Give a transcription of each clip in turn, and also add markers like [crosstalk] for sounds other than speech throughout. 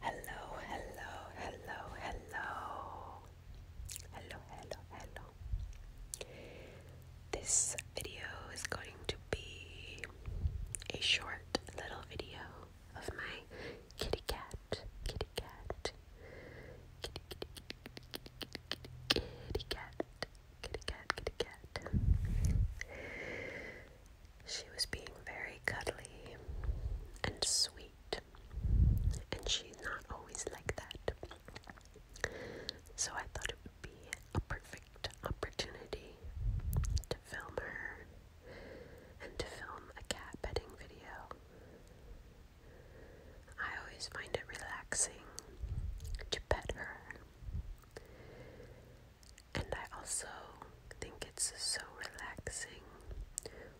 Hello, hello, hello, hello. Hello, hello, hello. This video is going to be a short little video of my kitty cat. Kitty cat. Kitty, kitty, kitty, kitty, kitty, kitty cat. Kitty cat, kitty cat. She was being very cuddly and sweet, and she's not always like that. So I thought it would be a perfect opportunity to film her and to film a cat petting video. I always find it relaxing to pet her. And I also think it's so relaxing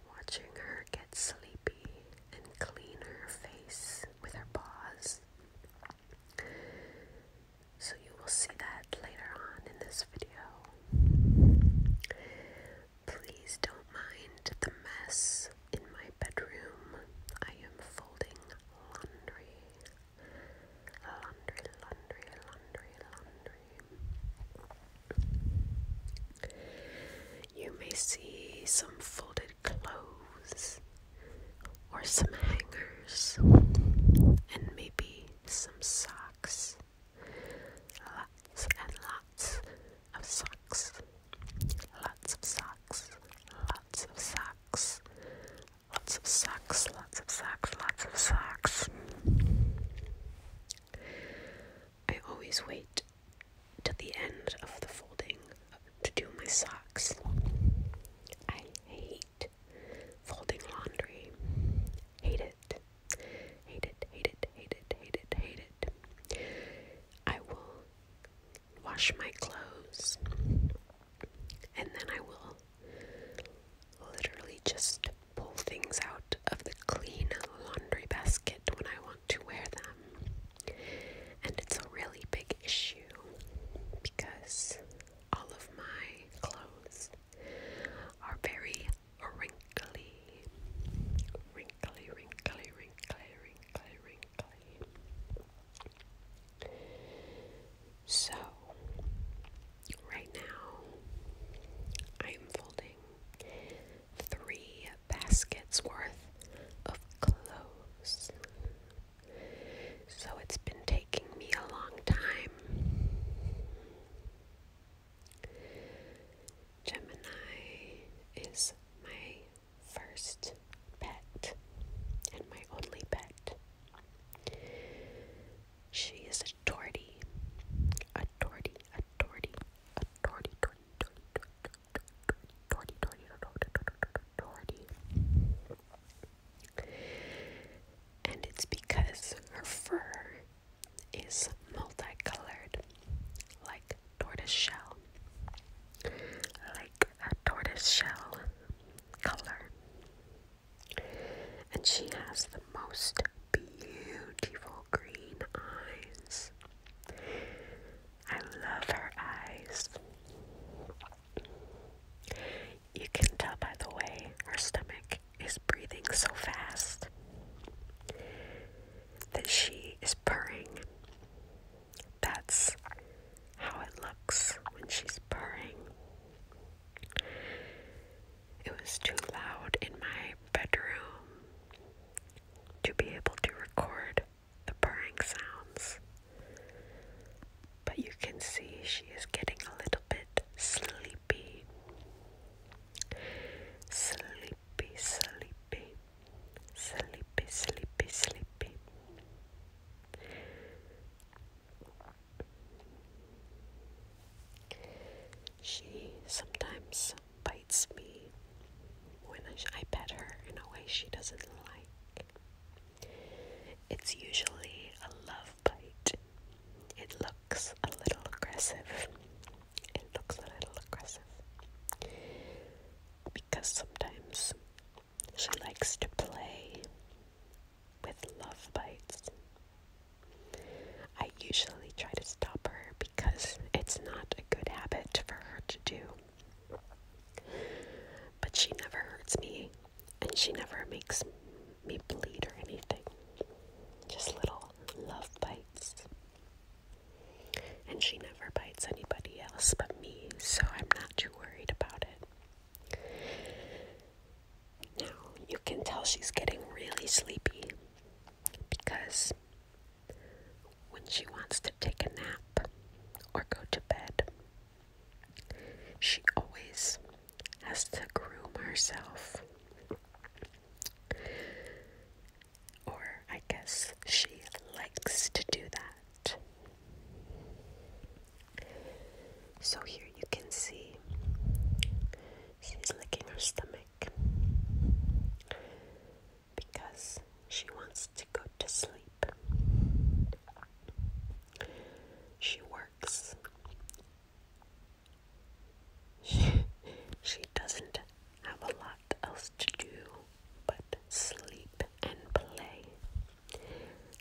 watching her get sleepy and clean her face with her paws. So you will see that later on in this video. Please don't mind the mess in my bedroom. I am folding laundry. You may see some folded clothes or some hangers and maybe some socks. Lots and lots of socks. Lots of socks. Lots of socks. Lots of socks, lots of socks, lots of socks. I always wait till the end of the folding to do my socks. I hate folding laundry. Hate it. Hate it, hate it, hate it, hate it, hate it. I will wash my clothes and then I will literally just pull things out of the clean laundry basket when I want to wear them. And it's a really big issue because all of my clothes are very wrinkly. Wrinkly, wrinkly, wrinkly, wrinkly, wrinkly. So, right now, I am folding three baskets worth of clothes. So, it's been taking me a long time. Gemini is my first pet and my only pet. She is a tortie. A tortie, a tortie, a tortie, tortie, tortie, tortie, tortie, tortie, tortie, tortie. And it's because her fur is multicolored, like tortoise shell. Like a tortoise shell color. And she has the most beautiful green eyes. I love her eyes. You can tell by the way her stomach is breathing so fast that she is purring. That's how it looks when she's purring. It was too loud in my bedroom to be able to record the purring sounds. But you can see she is getting a little bit sleepy. Sleepy, sleepy sleepy, sleepy, sleepy. She sometimes bites me when I, I pet her in a way she doesn't like. It's usually a love bite. It looks a little aggressive. It looks a little aggressive. Because sometimes she likes to play with love bites. I usually try to stop her because it's not a good habit for her to do. But she never hurts me and she never makes me bleed or anything. Just little love bites. And she never bites anybody else but me, so I'm not too worried about it. Now, you can tell she's getting really sleepy because when she wants to take a nap or go to bed, she always has to groom herself. Or I guess she likes to do that. So here you can see she's licking her stomach because she wants to go to sleep. She works. She, [laughs] she doesn't have a lot else to do but sleep and play.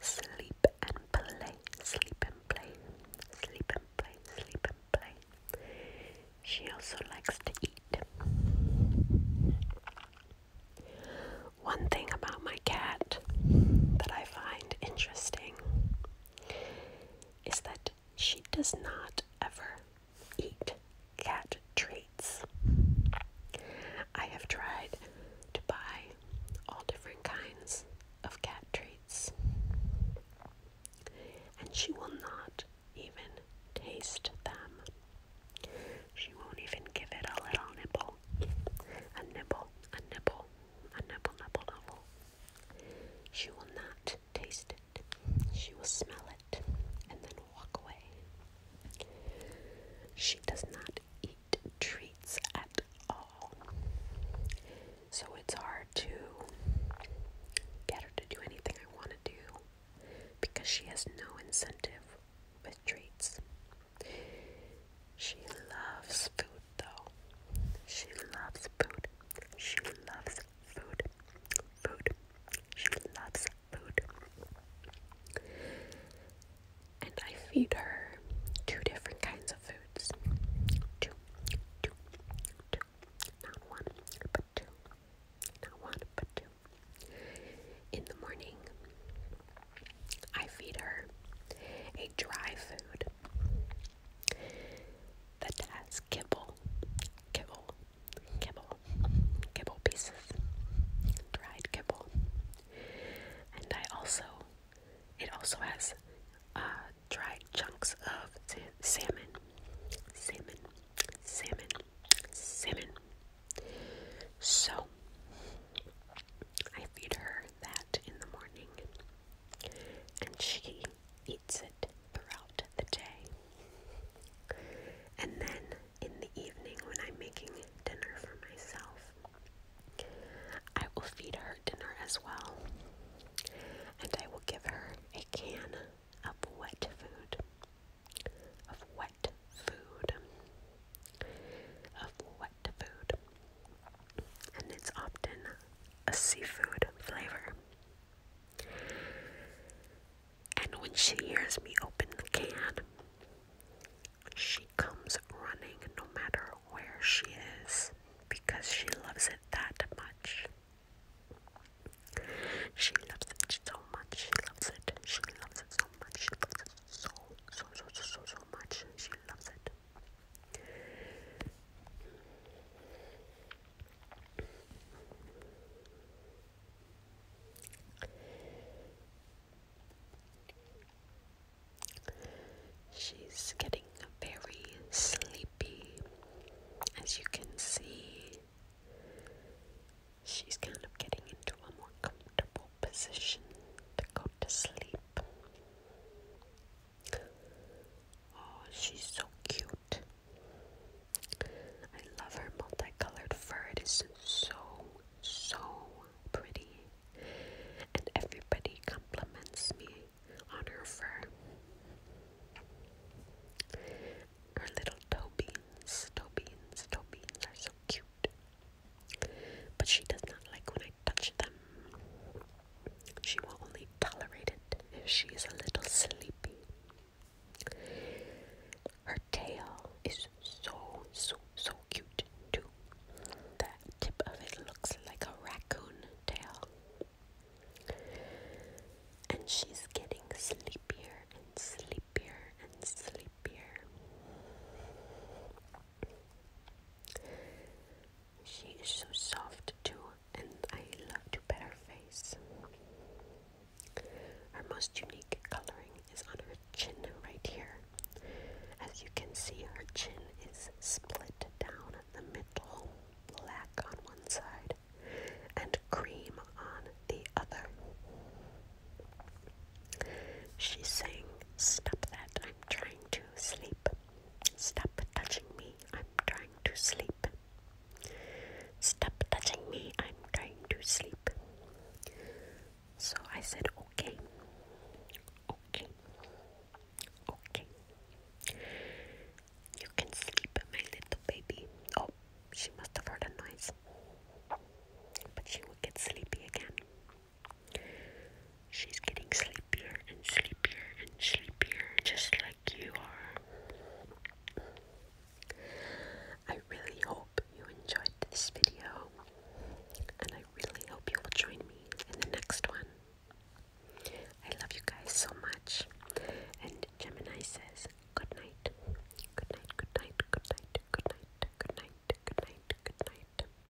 Sleep and play, sleep and play, sleep and play, sleep and play. She also likes to eat. One thing about my cat that I find interesting is that she does not ever eat cat treats. I have tried to buy all different kinds of cat treats, and she will not even taste them. She won't even give it a little nibble. A nibble, a nibble, a nibble, nibble, nibble. She will not taste it, she will smell it and then walk away. She does not eat treats at all. So it's hard to get her to do anything I want to do because she has no incentive with treats. She loves food though. She loves food. She loves food, food. She loves food. And I feed her two different kinds of foods. Two, two, two. Not one, but two. Not one, but two. In the morning, I feed her a dry food that has kibble, kibble, kibble, kibble pieces, dried kibble, and I also, it also has uh, dried chunks of salmon, salmon, salmon, salmon. So I feed her that in the morning, and she eats eats throughout the day. And then in the evening, when I'm making dinner for myself, I will feed her dinner as well. And I will give her a can of wet food. Of wet food. Of wet food. And it's often a seafood flavor. And when she hears me open the can, she comes running no matter where she is because she loves it that much. She loves it so much. She loves it. She loves it so much. She loves it so, so, so, so, so, so much. She loves it. She's getting very sleepy, as you can see. She's kind of getting into a more comfortable position to go to sleep. Oh, she's so cute. I love her multicolored fur. It is so, so pretty. And everybody compliments me on her fur. Her little toe beans, toe beans, toe beans are so cute. But she does not like when I touch them. She will only tolerate it if she is a little sleepy. Her tail is so, so, so cute, too. The tip of it looks like a raccoon tail. And she's getting sleepier and sleepier and sleepier. She is so soft too, and I love to pet her face. Her most unique coloring is on her chin right here. As you can see, her chin is split down the middle, black on one side, and cream on the other. She's saying, Stop that, I'm trying to sleep. Stop touching me, I'm trying to sleep. Stop touching me, I'm trying to sleep. So I said, okay, okay, okay. You can sleep, my little baby. Oh, she must have heard a noise. But she will get sleepy again. She's getting sleepier and sleepier and sleepier, just like you are. I really hope you enjoyed this video, and I really hope you will join me in the next one. I love you guys so much, and Gemini says good night, good night, good night, good night, good night, good night, good night, good night.